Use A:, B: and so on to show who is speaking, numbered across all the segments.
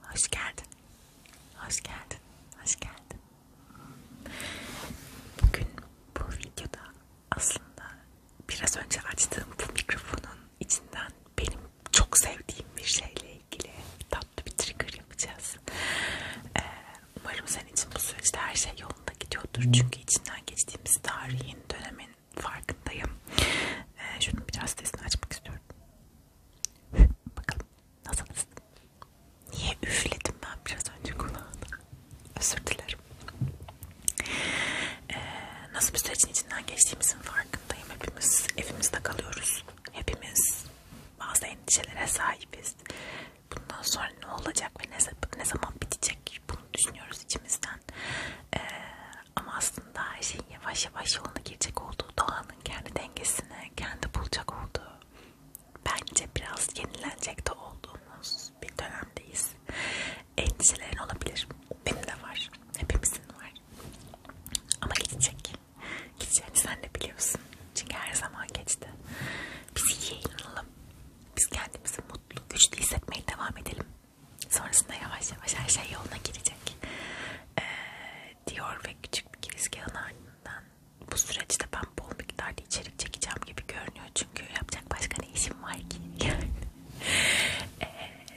A: Hoş geldin. Hoş geldin. Hoş geldin. Bugün bu videoda aslında biraz önce açtığım bu mikrofonun içinden benim çok sevdiğim bir şeyle ilgili tatlı bir trigger yapacağız. Ee, umarım senin için bu süreçte her şey yolunda gidiyordur. Çünkü içinden geçtiğimiz tarihin, dönemin farkındayım. Ee, şunun biraz sesini açmak istiyorum. Bakalım nasılsın? Niye üfledim ben biraz önce kulağına? Özür dilerim. Ee, nasıl bir sürecin içinden geçtiğimizin farkındayım. Hepimiz evimizde kalıyoruz. Hepimiz bazı endişelere sahibiz. Bundan sonra ne olacak ve ne, ne zaman bitecek bunu düşünüyoruz içimizden. Ee, ama aslında her şeyin yavaş yavaş yoluna girecek olduğu, doğanın kendi dengesini kendi bulacak olduğu, bence biraz yenilenecek de olduğumuz bir dönemdeyiz. Endişelerin olabilir. Benim de var. Hepimizin var. Ama gidecek. Gideceğini sen de biliyorsun. Çünkü her zaman geçti. Biz iyi inanalım. Biz kendimizi mutlu, güçlü hissetmeye devam edelim. Sonrasında yavaş yavaş her şey yoluna girecek ee, diyor ve küçük bir girizgahın ardından bu süreçte ben bol miktarda içerik çekeceğim gibi görünüyor çünkü yapacak başka ne işim var ki yani ee,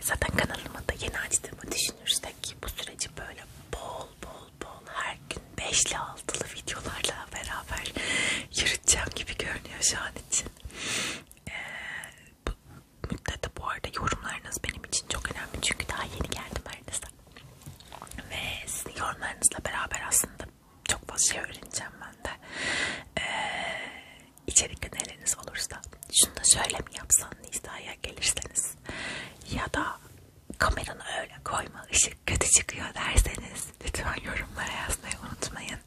A: zaten kanalımı da yeni açtığımı düşünürsek bu süreci böyle bol bol bol her gün 5 ile 6'lı videolarla beraber yürüteceğim gibi görünüyor şu an için ee, bu, müddete bu arada yorumlarınız benim için çok önemli çünkü daha yeni geldim aranızda ve sizin yorumlarınızla beraber aslında çok fazla şey öğreneceğim ben de ee, içerik öneriniz olursa şunu da şöyle mi yapsan Nisa'ya gelirseniz ya da kameranı öyle koyma ışık kötü çıkıyor derseniz lütfen yorumlara yazmayı unutmayın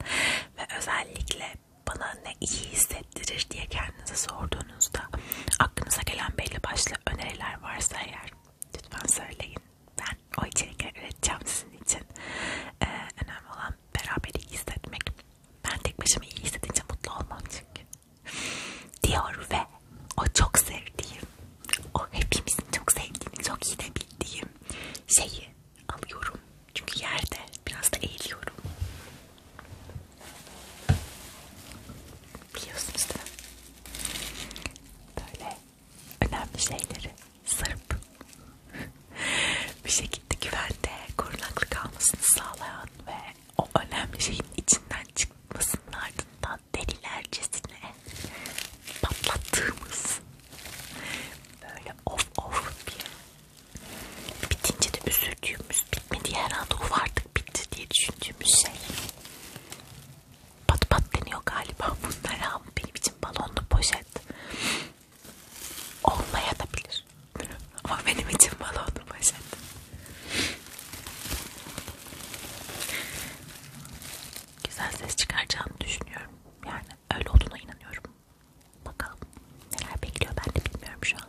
A: ve özellikle bana ne iyi hissettirir diye kendinize sorduğunuz sorduğunuzda aklınıza gelen belli başlı öneriler varsa eğer lütfen söyleyin. Ben o içerikleri üreteceğim sizin için. Ee, önemli olan beraber iyi hissetmek. Ben tek başıma iyi hissedince mutlu olmam çünkü. Diyor ve o çok sevdiğim, o hepimizin çok sevdiğini çok iyi de bildiğim şeyi alıyorum. Çünkü yerde biraz da eğiliyorum. Biliyorsunuz değil mi? Böyle önemli şeyleri sarıp bir şekilde güvende korunaklı kalmasını sağlayan ve o önemli şeyin içinden çıkmasının ardından delilercesine patlattığımız böyle of of bir bitince de üzüldüğümüz henüz bitmedi herhalde o artık bitti diye düşündüğümüz şey pat pat deniyor galiba bunlara benim için balonlu poşet olmaya da bilir ama benim için balonlu poşet güzel ses çıkaracağını düşünüyorum yani öyle olduğuna inanıyorum bakalım neler bekliyor ben de bilmiyorum şu an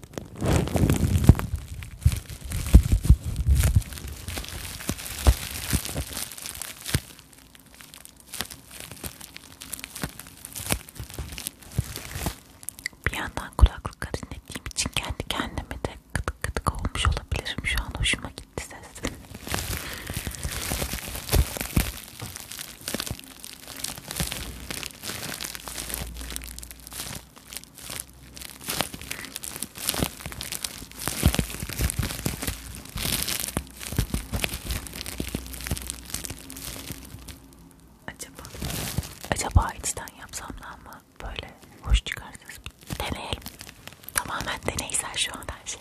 A: Bir yandan kulaklıkları dinlediğim için kendi kendime de kıtık kıtık olmuş olabilirim. Şu an hoşuma gitti ses. Acaba acaba içten yapsam da mı böyle hoş çıkarsınız? Deneyelim. Tamamen deneysel şu an her şey.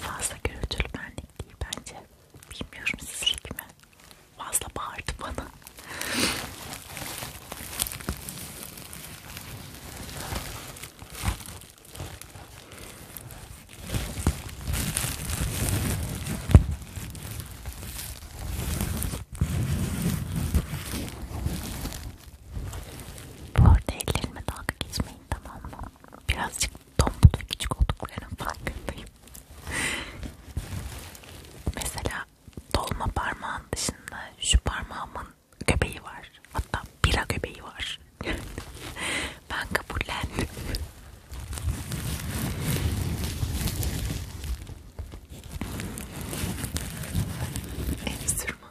A: Fazla gürültülü benlik değil bence. Bilmiyorum sizlik mi? Fazla bağırdı bana. Bu arada ellerime dalga geçmeyin tamam mı? Birazcık tombul ve küçük olduklarının farkındayım. Mesela dolma parmağın dışında şu parmağımın göbeği var. Hatta bira göbeği var. ben kabullendim. Enstrüman.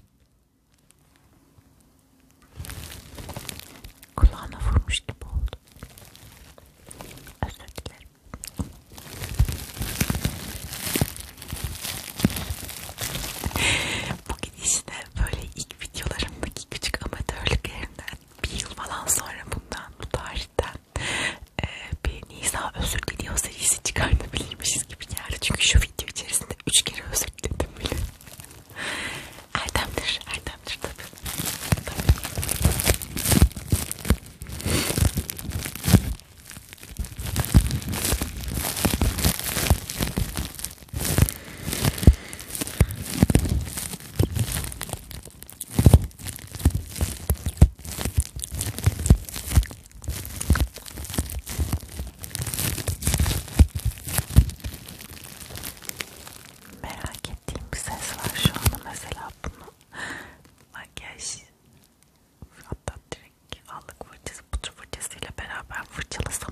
A: Kulağına vurmuş gibi oldu. Özür dilerim. Bugün işte böyle ilk videolarımdaki küçük amatörlüklerimden bir yıl falan sonra bundan bu tarihten e, bir Nisa özür diliyor serisi çıkartabilirmişiz gereksiz gibi geldi çünkü şu video içerisinde üç kere özür diledim bile. Erdemdir, Erdemdir tabii. tabii. Merak ettiğim bir ses var şu anda mesela bunu makyaj hatta direkt allık fırçası butur fırçasıyla beraber fırçalasam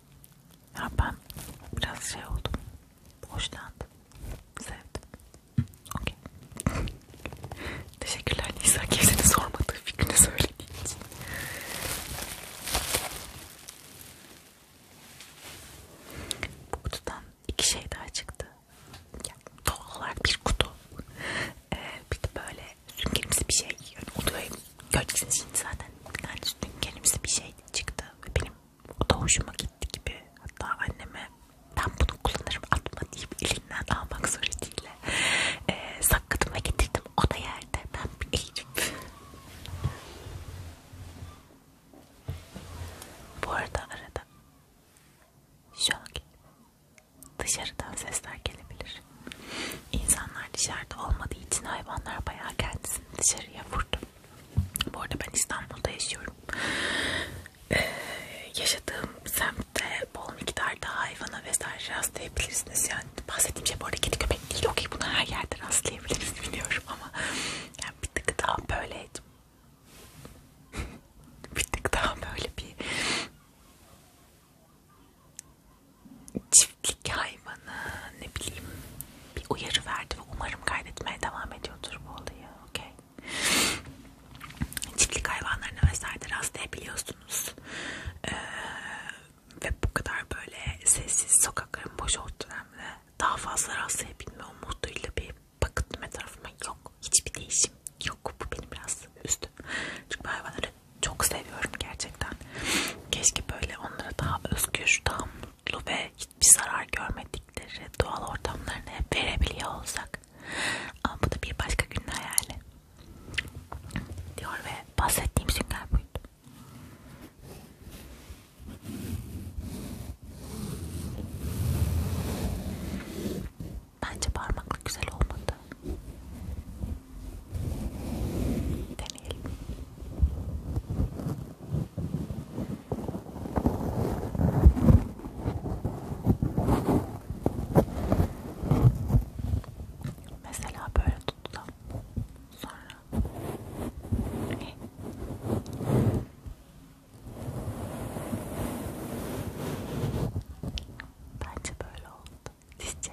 A: Ya ben biraz şey oldum. Hoşlandım. Sevdim. Okey. Teşekkürler Nisa. Kimsenin sormadığı fikrini söylediğin için. Bu kutudan iki şey daha çıktı. Yani doğal olarak bir kutu. Ee, bir de böyle süngerimsi bir şey. Yani odaya göreceksiniz şimdi zaten. Yani süngerimsi bir şey çıktı. Ve benim o da hoşuma gitti gibi. Hatta anneme ben bunu kullanırım atma deyip elinden almak suretiyle e, sakladım ve getirdim. O da yerde. Ben bir eğilip. Bu arada arada şu an dışarıdan sesler gelebilir. İnsanlar dışarıda olmadığı için hayvanlar bayağı kendisini dışarıya vurdu. Bu arada ben İstanbul'da yaşıyorum. Ee, yaşadığım semtte bol miktarda hayvana vesaire rastlayabilirsiniz. Yani bahsettiğim şey bu arada kedi köpek değil. Okey bunu her yerde rastlayabiliriz biliyorum ama yani bir tık daha böyle bir tık daha böyle bir çiftlik hayvanı ne bileyim bir uyarı verdi ve umarım kaydetmeye devam ediyordur bu olayı. Okay. Çiftlik hayvanlarına vesaire rastlayabiliyorsunuz. Ee, ve bu kadar böyle sessiz sokakların boş olduğu dönemde daha fazla rastlayabilme umuduyla bir bakıttım etrafıma yok. Hiçbir değişim yok. Bu beni biraz üzdü. Çünkü hayvanları çok seviyorum gerçekten. Keşke böyle onlara daha özgür, daha mutlu ve hiç hiçbir zarar görmedikleri doğal ortamlarını hep verebiliyor olsak ama bu da bir başka günün hayali diyor ve bahsettiğim sünger buydu. Bence parmakla güzel olmadı. Deneyelim. Mesela böyle tutsam sonra e. bence böyle oldu. Sizce?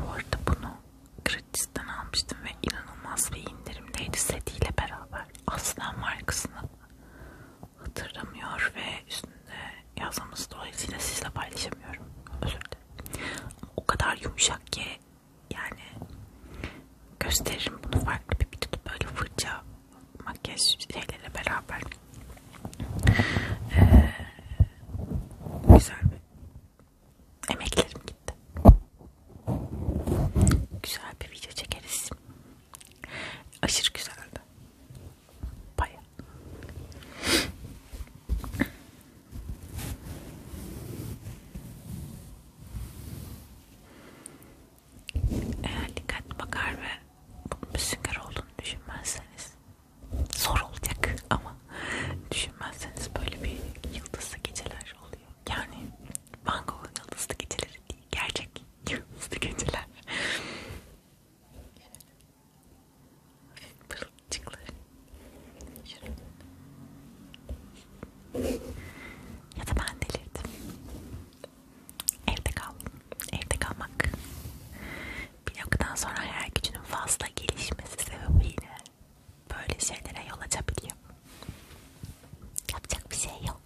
A: Bu arada bunu Gratis'ten almıştım ve inanılmaz bir indirimdeydi setiyle beraber. Aslan markasını hatırlamıyor ve üstünde yazmamız dolayısıyla sizle paylaşamıyorum. Özür dilerim. O kadar yumuşak ki yani gösteririm bunu farklı bir videoda böyle fırça makyaj şeyleriyle beraber ee, güzel bir emeklerim gitti. Güzel bir video çekeriz. Aşırı güzeldi. Baya eğer dikkatli bakar ve bunun bir sünger olduğunu düşünmezseniz zor olacak ama düşünmezseniz böyle bir yıldızlı geceler oluyor. Yani Van Gogh'un yıldızlı geceleri değil, gerçek yıldızlı geceler. Pırıltıcıkları. Ya da ben delirdim. Evde kal. Evde kalmak. Bir noktadan sonra hayal gücünün fazla gelişmesi sebebiyle böyle şeylere yol açabiliyor. Yapacak bir şey yok.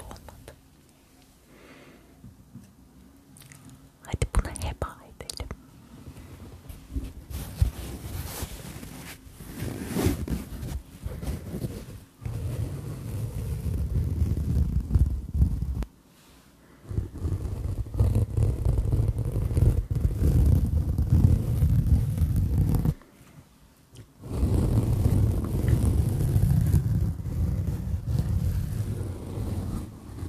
A: Bu olmadı. Hadi buna heba edelim.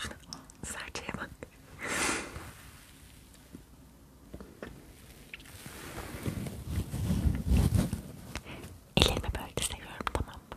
A: Şuna serçeye bak. Ellerimi böyle seviyorum tamam mı?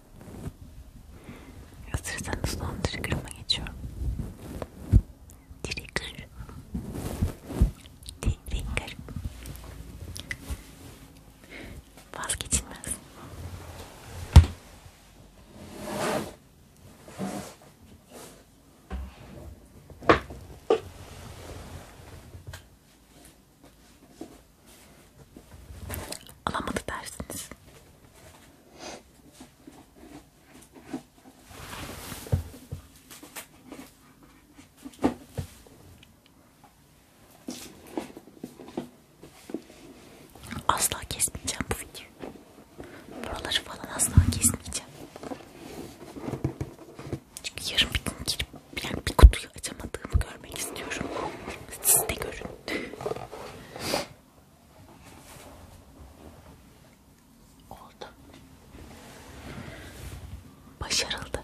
A: Hazırsanız son trigger'ıma geçiyorum. Trigger. Trigger. Vazgeçilmez alamadı dersiniz. Asla kesmeyeceğim bu videoyu. Buraları falan asla kesmeyeceğim. Çünkü yarın bir gün girip yani bir kutuyu açamadığımı görmek istiyorum. Siz de görün. Oldu. Başarıldı.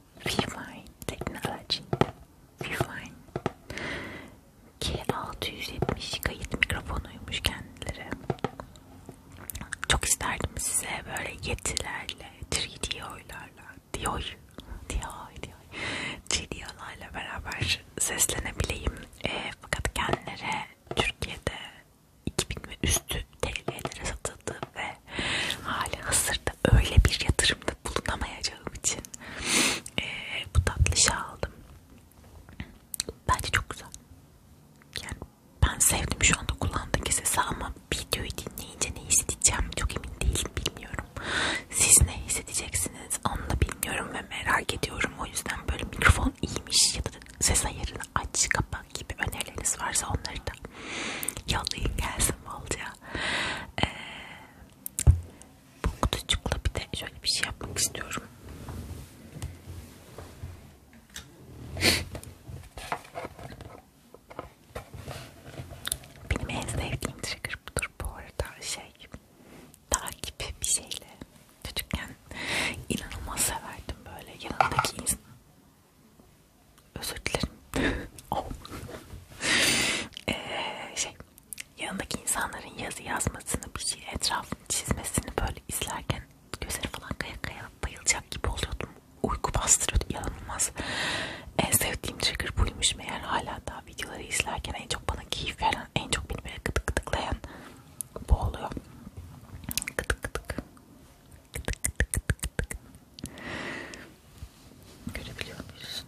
A: Refine Technology Refine K670 kayıt mikrofonuymuş kendileri. Çok isterdim size böyle yetilerle, 3D oylarla, diyor, diyor, diyor, 3D oylarla beraber seslenebileyim. E, fakat kendileri Türkiye'de 2000 ve üstü TL'lere satıldı ve hali hazırda öyle bir yatırımda bulunamayacağım için e, bu tatlışa aldım. Bence çok güzel. Yani ben sevdim şu anda kullandığım sesi ama videoyu dinleyince ne hissedeceğim çok emin değilim bilmiyorum. Siz ne hissedeceksiniz onu da bilmiyorum ve merak ediyorum. O yüzden böyle mikrofon iyiymiş ya da ses ayarını aç kapat gibi önerileriniz varsa onları da yollayın gelsin bolca. Ee, bu kutucukla bir de şöyle bir şey yapmak istiyorum. Benim en sevdiğim trigger budur bu arada şey takip bir şeyle çocukken inanılmaz severdim böyle yanındaki insan özür dilerim ee, şey yanındaki insanların yazı yazmasını, bir şey etrafını çizmesini böyle izlerken gözleri falan kaya kaya bayılacak gibi oluyordum. Uyku bastırıyordu inanılmaz. En sevdiğim trigger buymuş meğer hala daha videoları izlerken en çok bana keyif veren, en çok beni böyle gıdık gıdıklayan bu oluyor. Gıdık gıdık. Gıdık gıdık gıdık gıdık. Görebiliyor musun?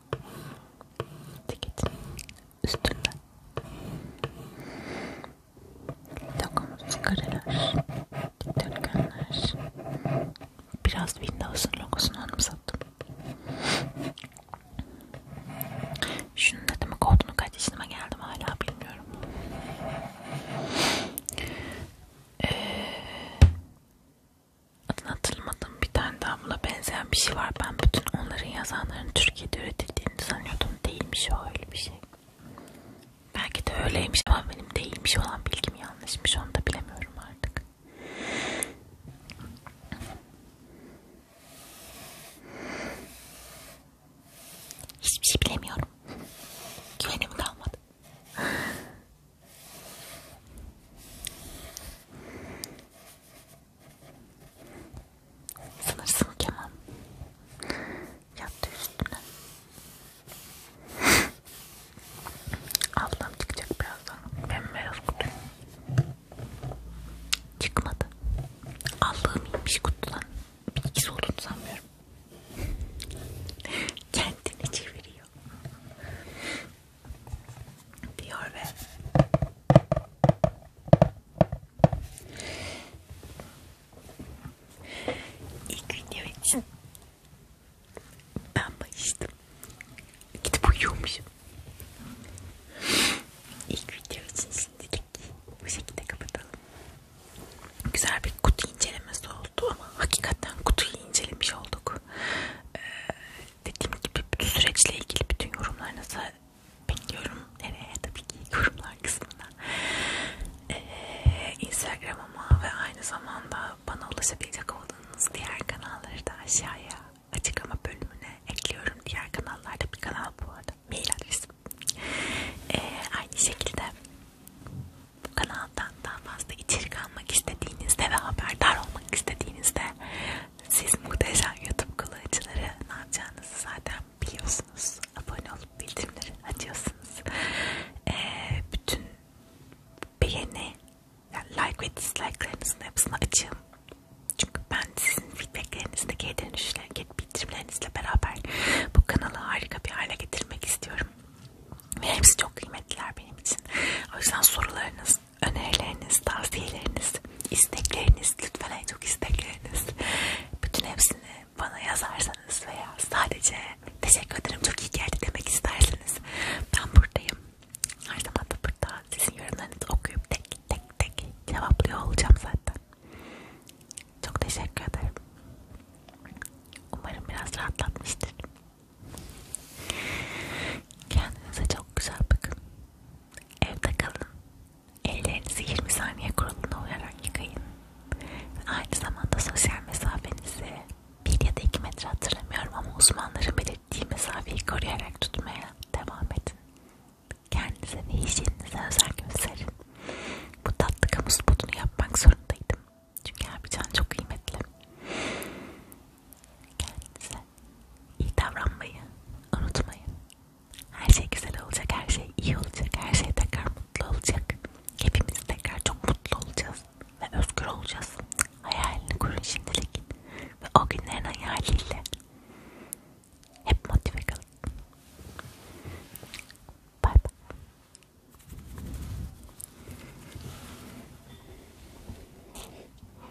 A: ceketin üstünden logomuzu çıkarırlar dikdörtgenler biraz Windows'un logosunu anımsattım şunun ne demek olduğunu kaç yaşıma geldim hala bilmiyorum ee, adını hatırlamadığım bir tane daha buna benzeyen bir şey var. Ben bütün onların yazanların Türkiye'de üretildiğini sanıyordum. Değilmiş o öyle bir şey. Belki de öyleymiş ama benim değilmiş olan bilgim yanlışmış. Onu da bilemiyorum artık. Hiçbir şey bilemiyorum. Güvenim kalmadı. Sanırsın Kemal yattı üstüne. Ablam çıkacak birazdan. Bembeyaz kutu. Çıkmadı. Allah'ım inmiş kutudan. Bilgisi olduğunu sanmıyorum. Kendini çeviriyor diyor ve ilk video için ben bayıştım. Gidip uyuyormuşum. İlk video için şimdilik bu şekilde kapatalım. Güzel bir kutu incelemesi oldu ama hakikaten kutuyu incelemiş olduk. Ee, dediğim gibi bütün süreçle ilgili bütün yorumlarınızı bekliyorum. Nereye? Tabii ki yorumlar kısmına. Ee, Instagram'ıma ve aynı zamanda bana ulaşabilecek olduğunuz diğer kanalları da aşağıya açıklama bölümüne ekliyorum. Diğer kanallarda bir kanal bu arada. Mail adresim. Ee, aynı şekilde bu kanaldan daha fazla içerik almak istediğinizde ve haberdar olmak istediğinizde siz muhteşem YouTube kullanıcıları ne yapacağınızı zaten biliyorsunuz. Abone olup bildirimleri açıyorsunuz. Ee, bütün beğeni, yani like ve dislike'larınızın hepsini açığım. Çünkü ben sizin feedbacklerinizle, geri dönüşlerle, geri bildirimlerinizle beraber bu kanalı harika bir hale getirmek istiyorum. Ve hepsi çok kıymetliler benim için. O yüzden sorularınız, önerileriniz, tavsiyeleriniz, istekleriniz, lütfen en çok istekleriniz bütün hepsini bana yazarsanız veya sadece teşekkür ederim çok iyi geldi demek isterseniz ben buradayım. Her zaman da burada sizin yorumlarınızı okuyup tek tek tek cevaplıyor olacağım zaten. Çok teşekkür ederim. Umarım biraz rahatlatmıştır. Kendinize çok güzel bakın. Evde kalın. Ellerinizi 20 saniye kuralına uyarak yıkayın. Ve aynı zamanda sosyal mesafenizi 1 ya da 2 metre hatırlamıyorum ama uzmanların belirttiği mesafeyi koruyarak tutmaya devam edin. Kendinize ve hijyeninize özel gösterin. Bu tatlı kamu spotunu yapmak zorundaydım. Çünkü Erbican çok kıymetli. Kendinize iyi davranmayı unutmayın. Her şey güzel olacak, her şey iyi olacak, her şey tekrar mutlu olacak. Hepimiz tekrar çok mutlu olacağız ve özgür olacağız. Hayalini kurun şimdilik ve o günlerin hayaliyle hep motive kalın. Bye bye.